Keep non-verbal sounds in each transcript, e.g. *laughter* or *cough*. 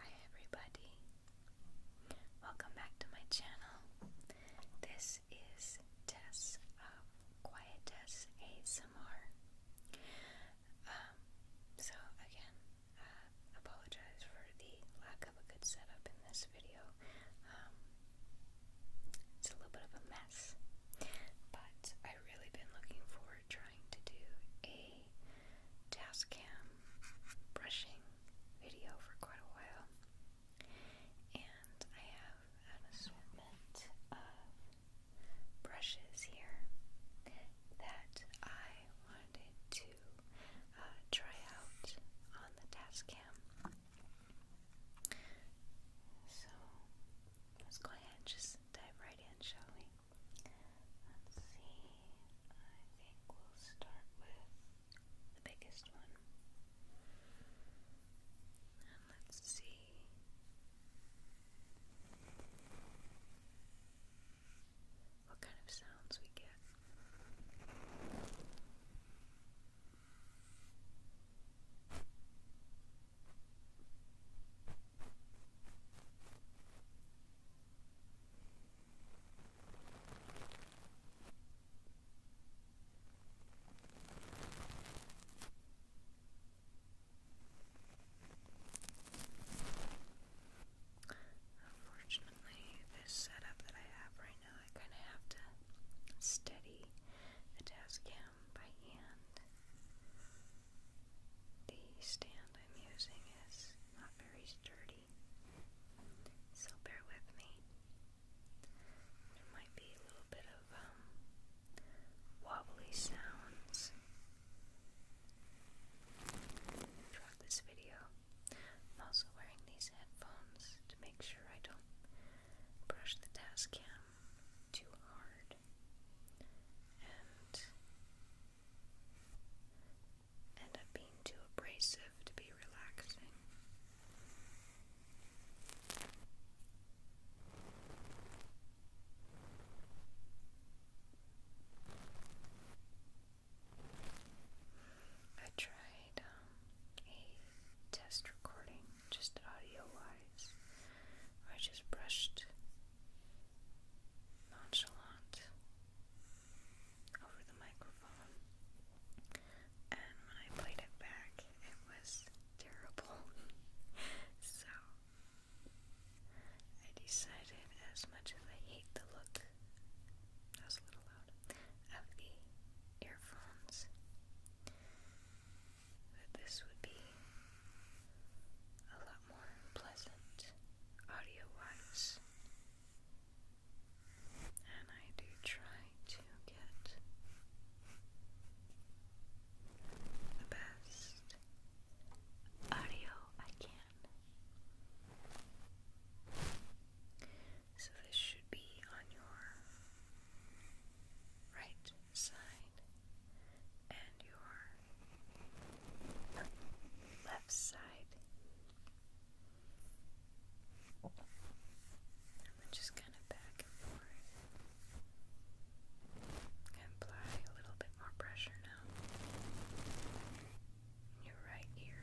Hi everybody. Welcome back to my channel. This is Tess of Quiet ASMR. Um, so again, uh, apologize for the lack of a good setup in this video. Um, it's a little bit of a mess, but I've really been looking forward trying to do a task cam brushing video for quite a while, and I have an assortment of brushes here that I wanted to uh, try out on the task cam. So let's go ahead and just dive right in, shall we? Let's see. I think we'll start with the biggest one. And let's see. What kind of sounds we get? Unfortunately, this setup that I have right now, I kind of have to steady the tascam by hand. The stand I'm using is not very sturdy, so bear with me. There might be a little bit of um, wobbly sounds throughout this video. I'm also wearing these headphones to make sure I don't brush the task too hard end up being too abrasive to be relaxing. I tried um, a test recording, just audio wise, I just brushed nonchalant over the microphone, and when I played it back, it was terrible. *laughs* so I decided, as much as I hate the look, of the earphones, that this would be a lot more pleasant audio wise. And I do try to get the best audio I can. So this should be on your right side and your left side. just kind of back and forth. apply a little bit more pressure now. your right ear.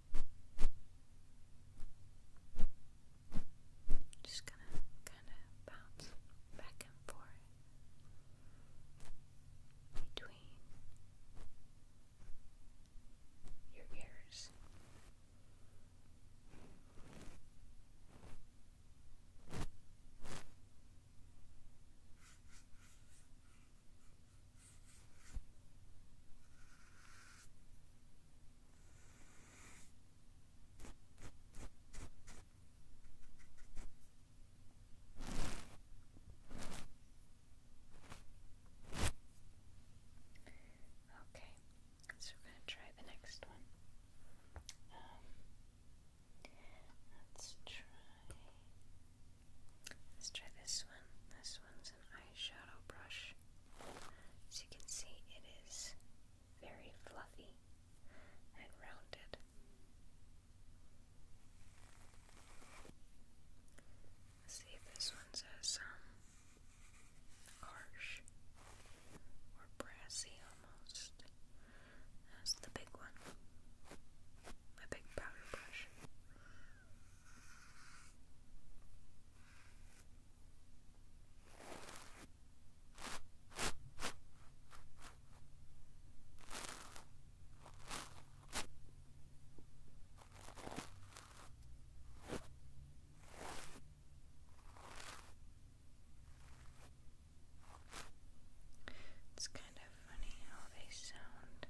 Just gonna kind of bounce back and forth between your ears. Okay, so we're going to try the next one. Um, let's try. Let's try this one. This one's an eyeshadow brush. As you can see, it is very fluffy and rounded. see if this one's as um, harsh or brassy almost as the big one. My big powder brush. It's kind of funny how they sound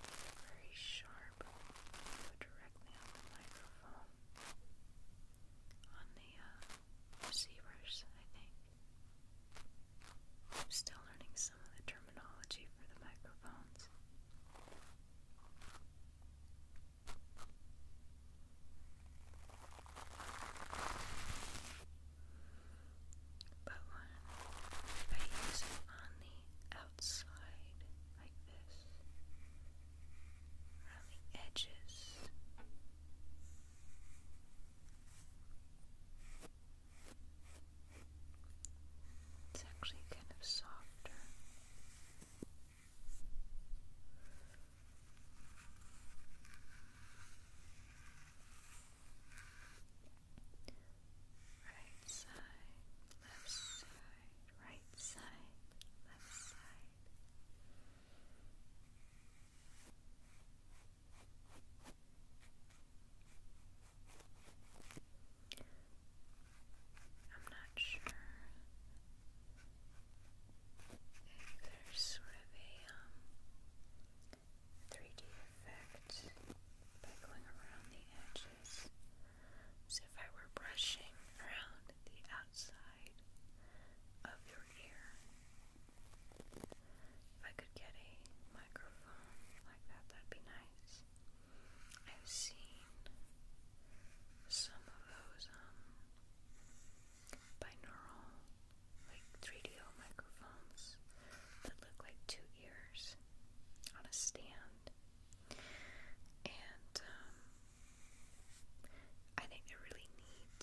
very sharp, so directly on the microphone, on the uh, receivers, I think. am still learning some of the terminology for the microphones. But when I use on the outside like this around the edges. It's actually kind of softer right side, left side, right side, left side. I'm not sure if there's sort of a um, 3D effect by going around the edge brushes. if I were brushing around the outside of your ear. If I could get a microphone like that, that'd be nice. I've seen some of those um binaural, like 3DO microphones that look like two ears on a stand and um, I think they really neat,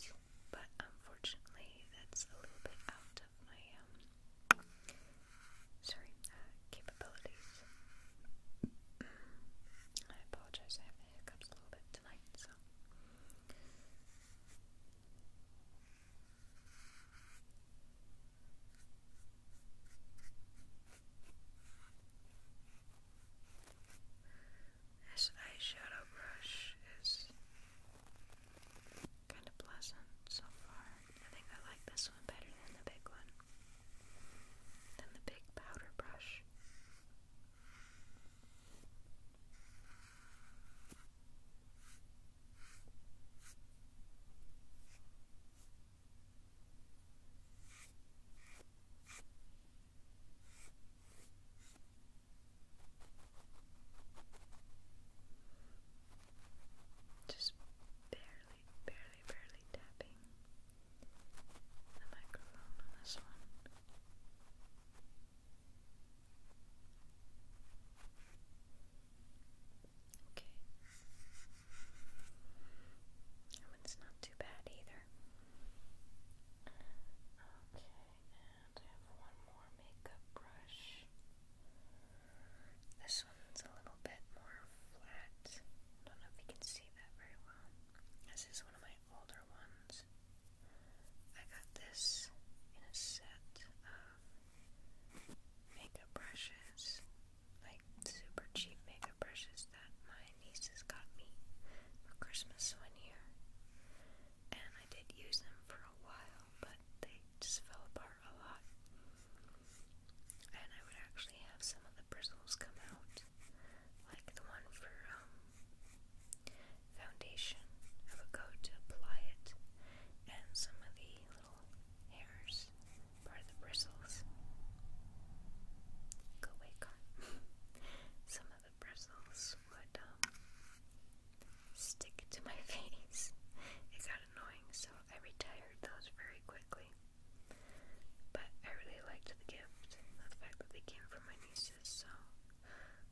but unfortunately, that's a little bit out of my um, sorry uh, capabilities. I apologize, I have the hiccups a little bit tonight, so. This eyeshadow brush is kind of pleasant so far. I think I like this one better than the big one, than the big powder brush. Just barely, barely, barely tapping the microphone on this one. Okay. That one's not too bad either. Okay, and I have one more makeup brush. This one's a little bit more flat. I don't know if you can see that very well. This is one of my older ones. I got this in a set of makeup brushes like super cheap makeup brushes that my nieces got me for Christmas one year. And I did use them for a while, but they just fell apart a lot. And I would actually have some of the bristles come out, like the one for um, foundation. I would go to apply it, and some of the little hairs part of the bristles. Go wake up. *laughs* Some of the bristles would um, stick to my *laughs* face. It got annoying, so I retired those very quickly. But I really liked the gift, the fact that they came from my nieces, so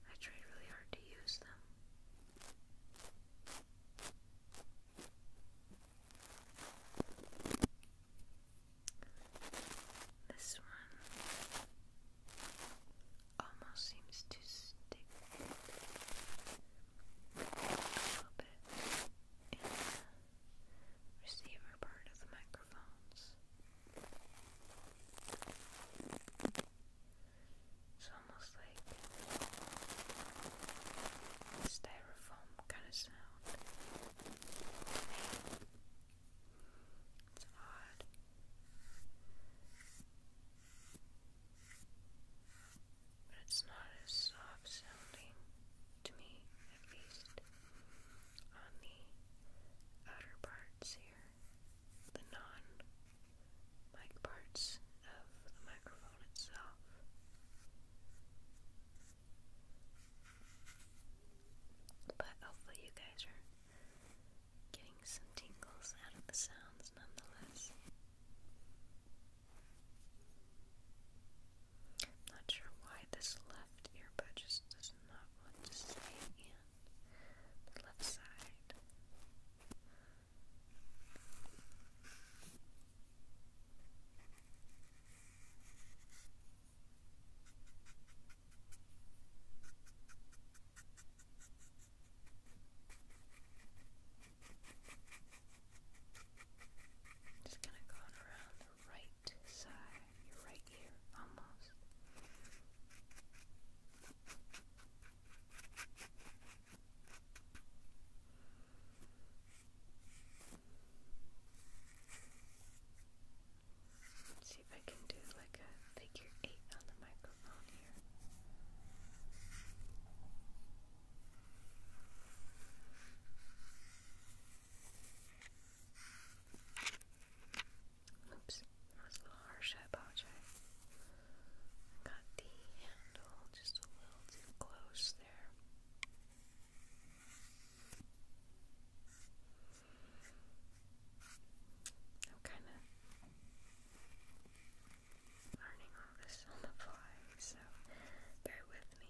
I tried really hard to use them. This one almost seems to stick a little bit in the receiver part of the microphones. It's almost like styrofoam styrofoam kind of sound. It's odd. But it's not as soft sounding, to me at least, on the outer parts here, the non mic parts of the microphone. But hopefully, you guys are getting some tingles out of the sounds nonetheless. I'm not sure why this left earbud just does not want to stay in the left side. Just kind of going around the right side, your right ear almost. Let's see if I can do like a figure eight on the microphone here. Oops, that was a little harsh, I apologize. Got the handle just a little too close there. I'm kind of learning all this on the fly, so bear with me.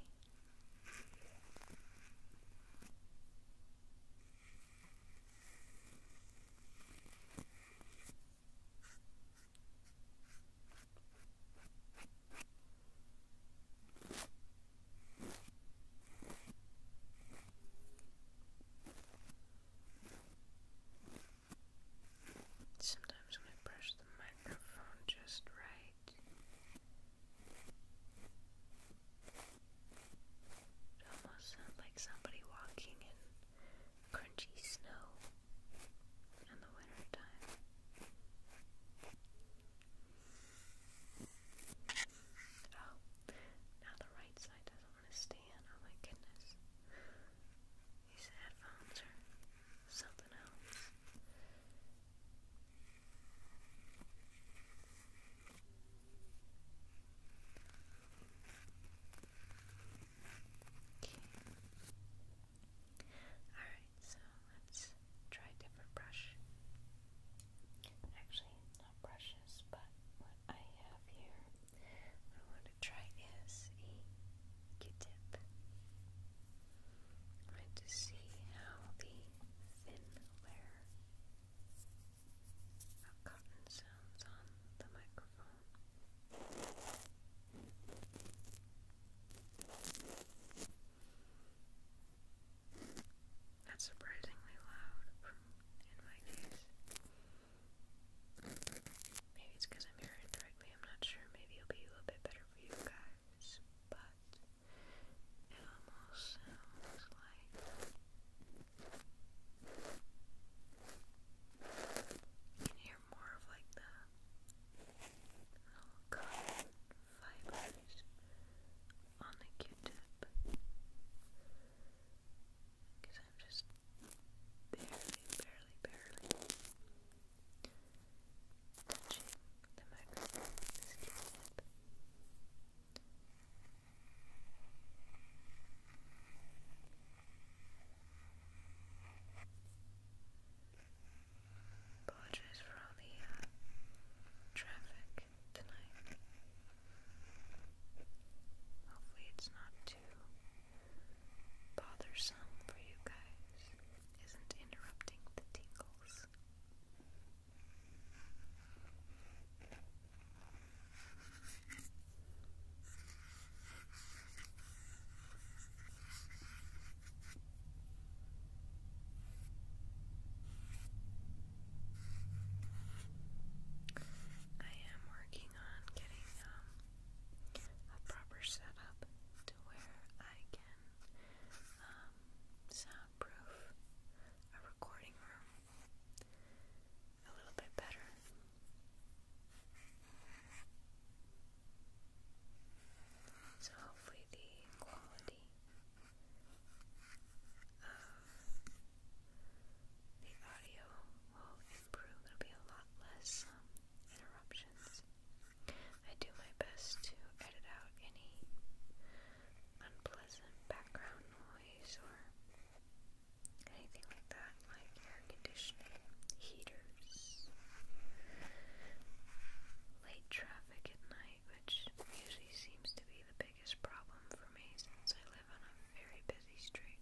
Sometimes when I brush the microphone just right, it almost sounds like somebody walking in crunchy snow in the winter Oh, now the right side doesn't want to stay Oh my goodness. These headphones are something else. Okay. Alright, so let's try a different brush. Actually, not brushes, but what I have here, I want to try is a Q-tip. I want to see how the thin layer of cotton sounds on the microphone. That's surprisingly loud in my case. Maybe it's because I'm hearing directly, I'm not sure. Maybe it'll be a little bit better for you guys, but it almost sounds like. You can hear more of like the cotton fibers on the tip because I'm just barely, barely, barely touching the microphone Apologize for all the uh, traffic tonight. Hopefully, it's not too bothersome for you guys. Isn't interrupting the tingles. I am working on getting um, a proper setup to where I can um, soundproof a recording room a little bit better. So hopefully the quality of the audio will improve. There'll be a lot less um, interruptions. I do my best to edit out any unpleasant background noise or anything like that, like air conditioning heaters, late traffic at night, which usually seems to be the biggest problem for me since I live on a very busy street.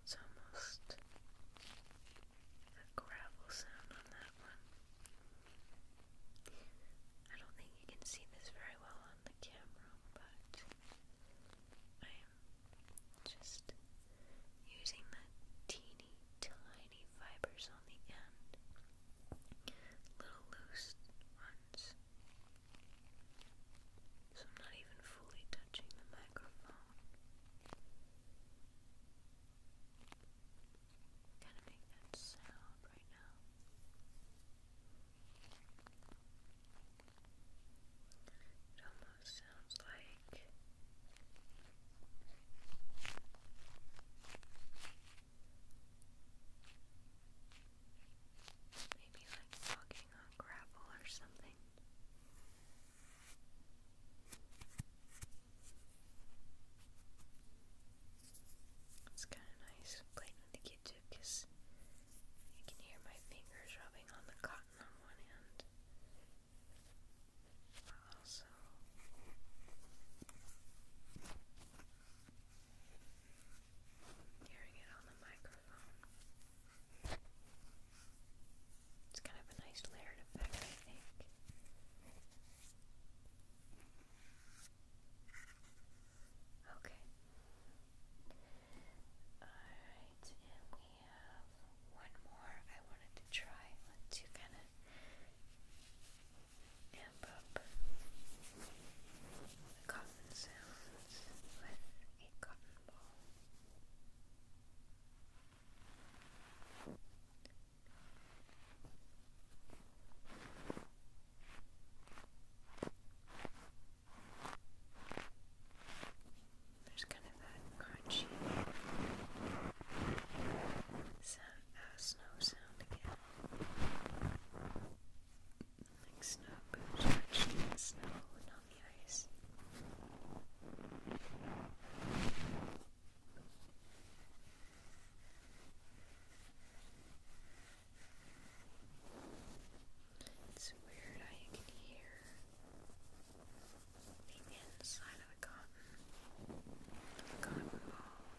It's almost a gravel sound on that one. I don't think you can see this very well on the camera, but I am just using the teeny tiny fibers on the end, little loose ones. So I'm not even fully touching the microphone. Kind of make that sound right now. It almost sounds like maybe like walking on gravel or something. It's kind of nice playing with the kid too because you can hear my fingers rubbing on the cotton on one hand. Also, hearing it on the microphone. It's kind of a nice layered effect, I think. Okay. Alright, we have one more I wanted to try. let kind of amp up the cotton sounds with a cotton ball. There's kind of that crunchy sound, uh, snow sound again. Like snow boots crunching in the snow and on the ice. It's weird how can hear the inside of the cotton, the cotton ball,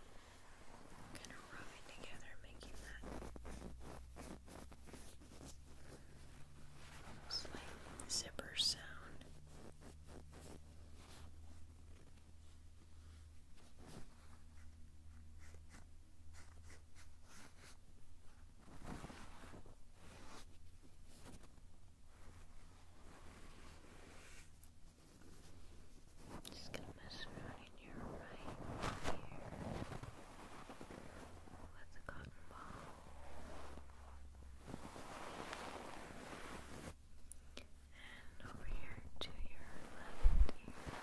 kind of rubbing together, making that slight zipper sound. Just gonna mess around in your right ear with the cotton ball. And over here to your left ear.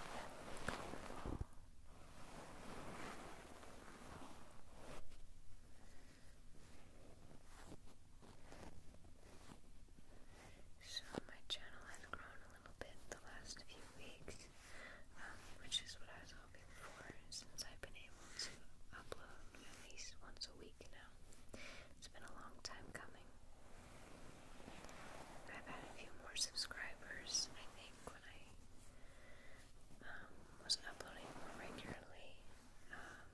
So my channel has grown a little bit the last few weeks, um, which is what I was hoping for since I've been able to upload at least once a week now. It's been a long time coming. I've had a few more subscribers, I think, when I um, was uploading more regularly um,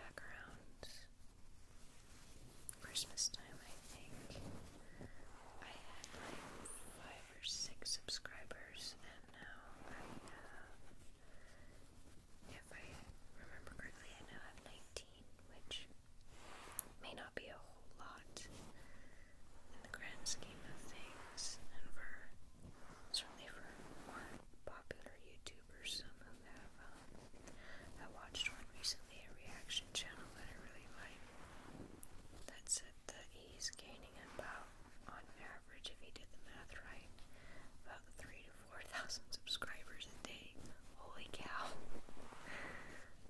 back around Christmas time, I think. I had like five or six subscribers, and now I have if I remember correctly, I now have 19, which may not be a whole lot in the grand scheme of things, and for certainly for more popular YouTubers, some who have. I um, watched one recently, a reaction channel that I really like, that said that he's gaining about on air if he did the math right, about three to four thousand subscribers a day. Holy cow!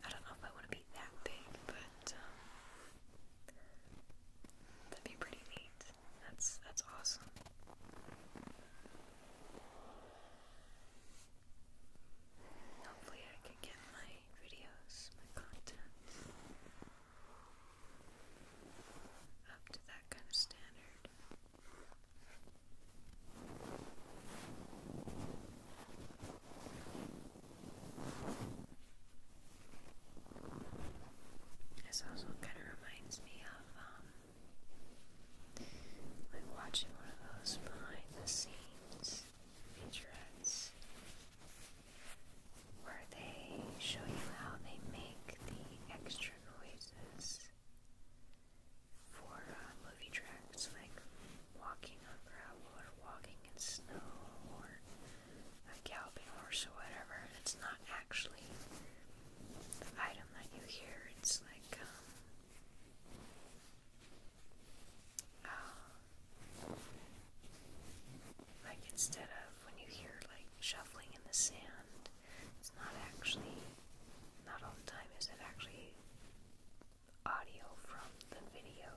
I don't know if I want to be that big, but um, that'd be pretty neat. That's that's awesome. Hopefully, I can get my videos, my content up to that kind of standard. This also kind of reminds me of um, like watching one of those behind the scenes featurettes where they show you how they make the extra extra noises for uh, movie tracks like walking on gravel or walking in snow or a uh, galloping horse or whatever. It's not actually the item that you hear. It's like um, uh, like instead of when you hear like shuffling in the sand it's not actually, not all the time is it actually audio from the video.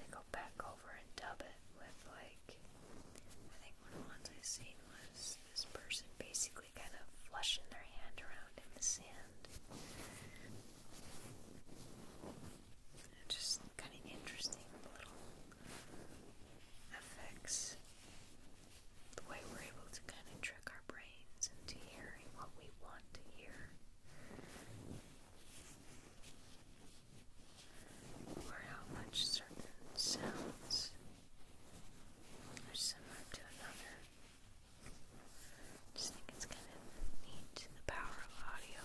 They go back over and dub it with like, I think one of the ones i seen was this person basically kind of flushing their hand around in the sand. Just kind of interesting little affects the way we're able to kind of trick our brains into hearing what we want to hear. Or how much certain sounds are similar to another. Just think it's kind of neat the power of audio.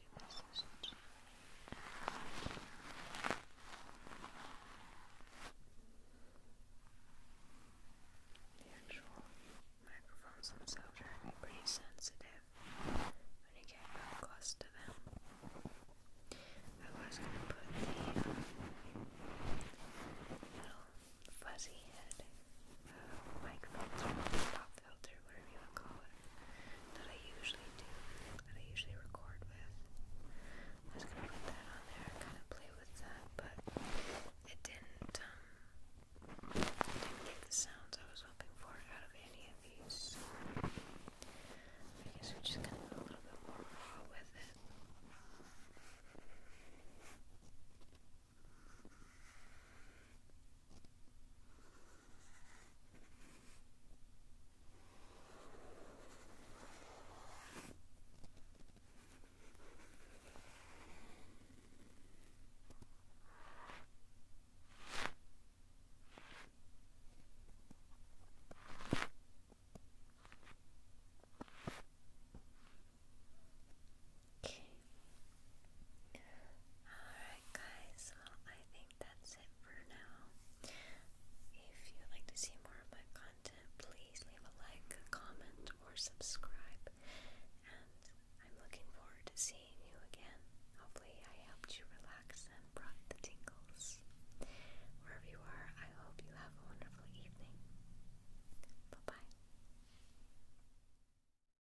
The actual microphones themselves are pretty sensitive when you get real close to them. I was going to put the little fuzzy head uh, filter, whatever you want call it, that I usually do, that I usually record with. I was gonna put that on there, kind of play with that, but it didn't, um, didn't get the sounds I was hoping for out of any of these. I guess we're just gonna go a little bit more raw with it. Okay. All guys, I think that's it for now. If you'd like to see more of my content, please leave a like, comment, or subscribe. And I'm looking forward to seeing you again. Hopefully I helped you relax and brought the tingles. Wherever you are, I hope you have a wonderful evening. Bye-bye.